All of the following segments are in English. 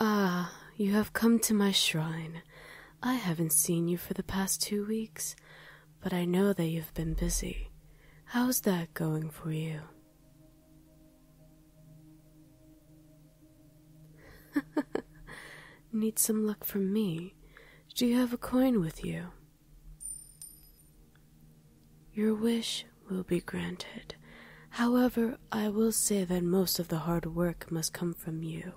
Ah, you have come to my shrine. I haven't seen you for the past two weeks, but I know that you've been busy. How's that going for you? Need some luck from me. Do you have a coin with you? Your wish will be granted. However, I will say that most of the hard work must come from you.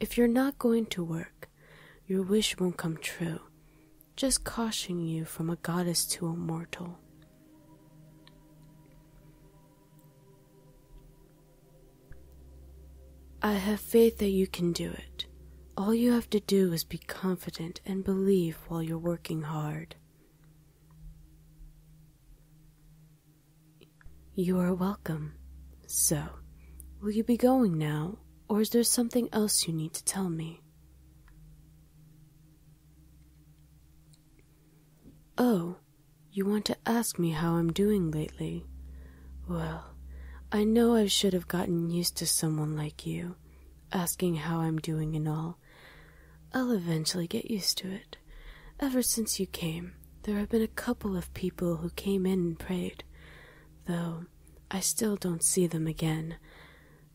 If you're not going to work, your wish won't come true. Just caution you from a goddess to a mortal. I have faith that you can do it. All you have to do is be confident and believe while you're working hard. You are welcome. So, will you be going now, or is there something else you need to tell me? Oh, you want to ask me how I'm doing lately? Well, I know I should have gotten used to someone like you, asking how I'm doing and all. I'll eventually get used to it. Ever since you came, there have been a couple of people who came in and prayed, though I still don't see them again.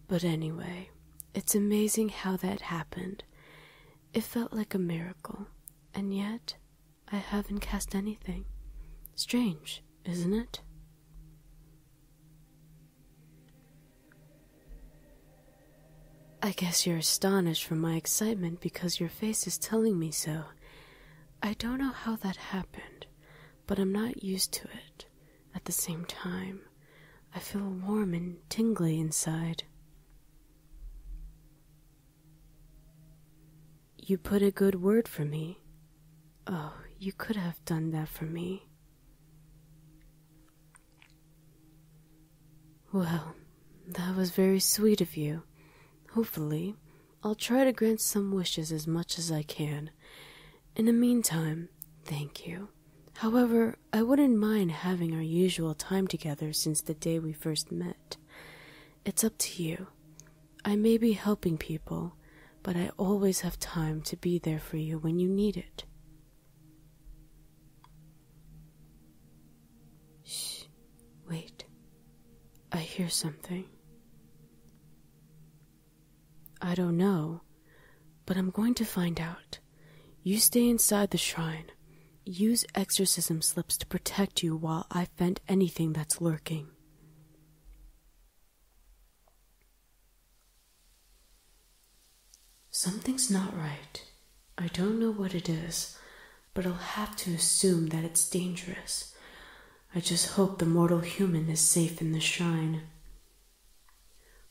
But anyway, it's amazing how that happened. It felt like a miracle, and yet I haven't cast anything. Strange, isn't it? I guess you're astonished from my excitement because your face is telling me so. I don't know how that happened, but I'm not used to it. At the same time, I feel warm and tingly inside. You put a good word for me. Oh, you could have done that for me. Well, that was very sweet of you. Hopefully, I'll try to grant some wishes as much as I can. In the meantime, thank you. However, I wouldn't mind having our usual time together since the day we first met. It's up to you. I may be helping people, but I always have time to be there for you when you need it. Shh, wait. I hear something. I don't know, but I'm going to find out. You stay inside the shrine. Use exorcism slips to protect you while I fend anything that's lurking. Something's not right. I don't know what it is, but I'll have to assume that it's dangerous. I just hope the mortal human is safe in the shrine.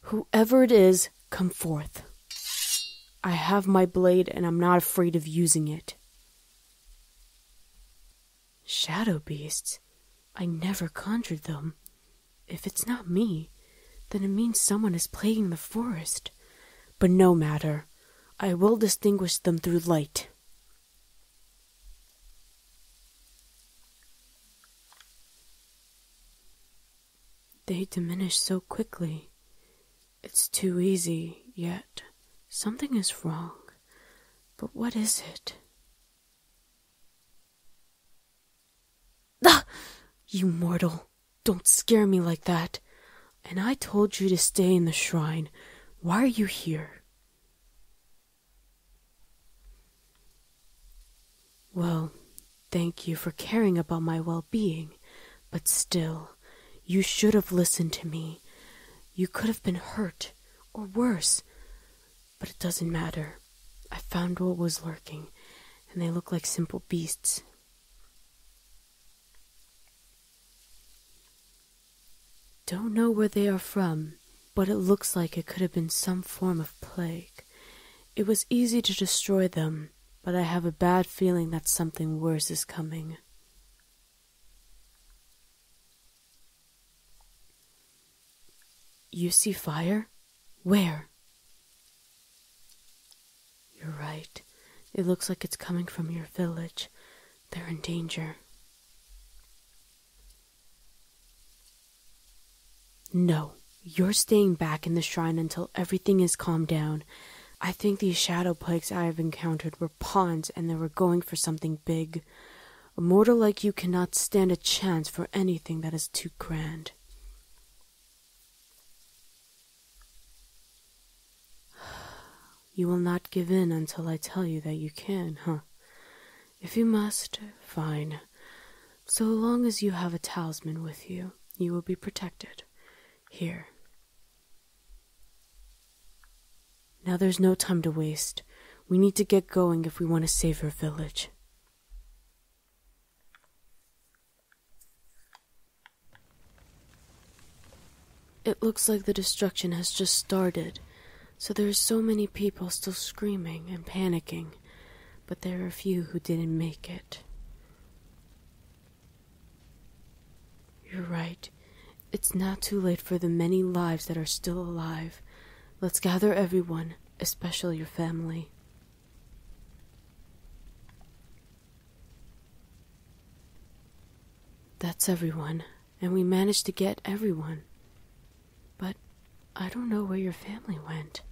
Whoever it is, come forth. I have my blade and I'm not afraid of using it. Shadow beasts? I never conjured them. If it's not me, then it means someone is plaguing the forest. But no matter. I will distinguish them through light. They diminish so quickly. It's too easy, yet something is wrong. But what is it? Ah! You mortal, don't scare me like that. And I told you to stay in the shrine. Why are you here? Well, thank you for caring about my well being, but still, you should have listened to me. You could have been hurt, or worse. But it doesn't matter. I found what was lurking, and they look like simple beasts. Don't know where they are from, but it looks like it could have been some form of plague. It was easy to destroy them, but I have a bad feeling that something worse is coming. You see fire? Where? You're right. It looks like it's coming from your village. They're in danger. No, you're staying back in the shrine until everything is calmed down. I think these shadow plagues I have encountered were pawns and they were going for something big. A mortal like you cannot stand a chance for anything that is too grand. You will not give in until I tell you that you can, huh? If you must, fine. So long as you have a talisman with you, you will be protected. Here, now there's no time to waste. We need to get going if we want to save our village. It looks like the destruction has just started, so there are so many people still screaming and panicking, but there are few who didn't make it. You're right. It's now too late for the many lives that are still alive. Let's gather everyone, especially your family. That's everyone, and we managed to get everyone. But I don't know where your family went.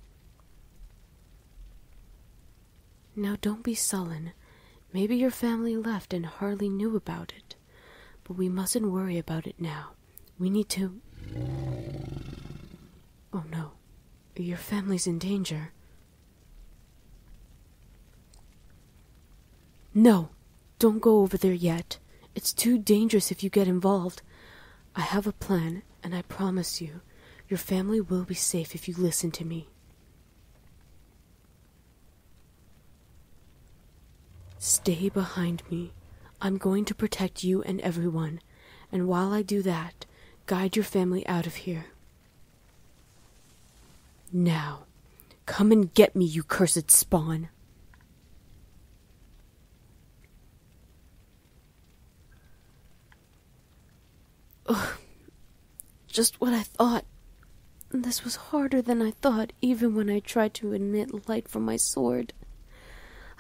Now don't be sullen. Maybe your family left and hardly knew about it. But we mustn't worry about it now. We need to. Oh no. Your family's in danger. No! Don't go over there yet. It's too dangerous if you get involved. I have a plan, and I promise you, your family will be safe if you listen to me. Stay behind me. I'm going to protect you and everyone, and while I do that, guide your family out of here. Now, come and get me, you cursed spawn. Oh. Just what I thought. This was harder than I thought, even when I tried to emit light from my sword.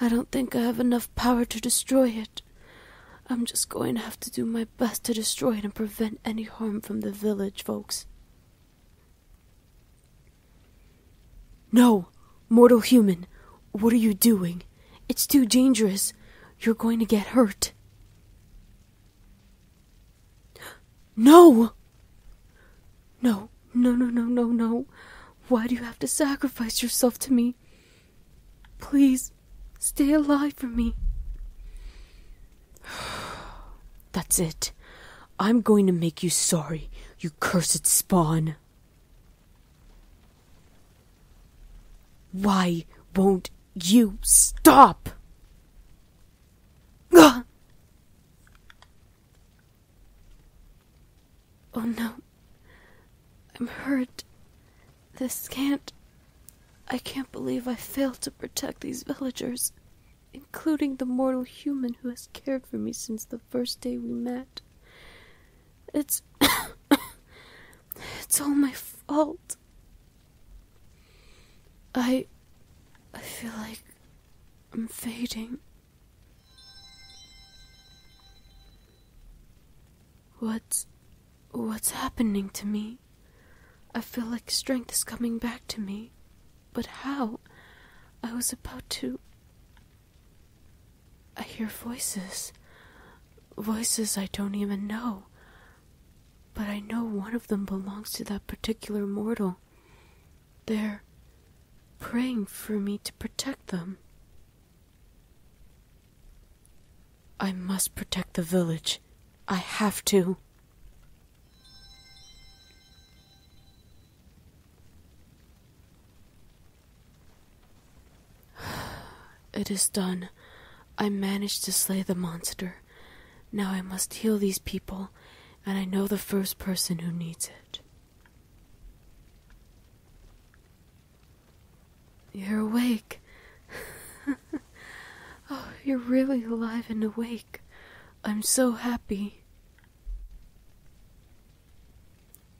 I don't think I have enough power to destroy it. I'm just going to have to do my best to destroy it and prevent any harm from the village folks. No! Mortal human, what are you doing? It's too dangerous. You're going to get hurt. No! No, no, no, no, no, no. Why do you have to sacrifice yourself to me? Please, stay alive for me. That's it. I'm going to make you sorry, you cursed spawn. Why won't you stop? Ugh! Oh no. I'm hurt. This can't. I can't believe I failed to protect these villagers, including the mortal human who has cared for me since the first day we met. It's. It's all my fault. I. I feel like I'm fading. What's. what's happening to me? I feel like strength is coming back to me. But how? I was about to. I hear voices. Voices I don't even know. But I know one of them belongs to that particular mortal. They're praying for me to protect them. I must protect the village. I have to. It is done. I managed to slay the monster. Now I must heal these people, and I know the first person who needs it. You're awake. oh, you're really alive and awake. I'm so happy.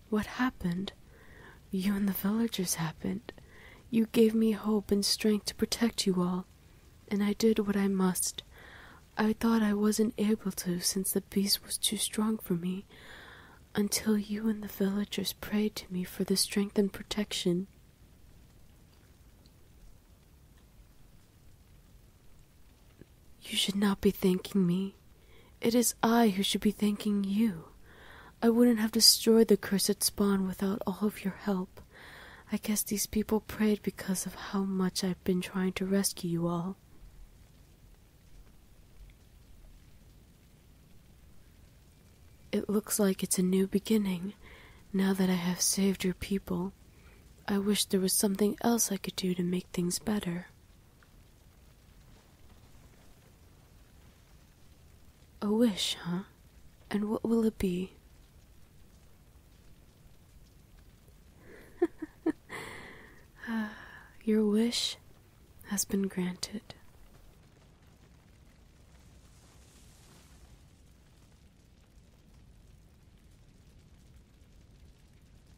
What happened? You and the villagers happened. You gave me hope and strength to protect you all, and I did what I must. I thought I wasn't able to since the beast was too strong for me, until you and the villagers prayed to me for the strength and protection. You should not be thanking me. It is I who should be thanking you. I wouldn't have destroyed the cursed spawn without all of your help. I guess these people prayed because of how much I've been trying to rescue you all. It looks like it's a new beginning, now that I have saved your people. I wish there was something else I could do to make things better. A wish, huh? And what will it be? Your wish has been granted.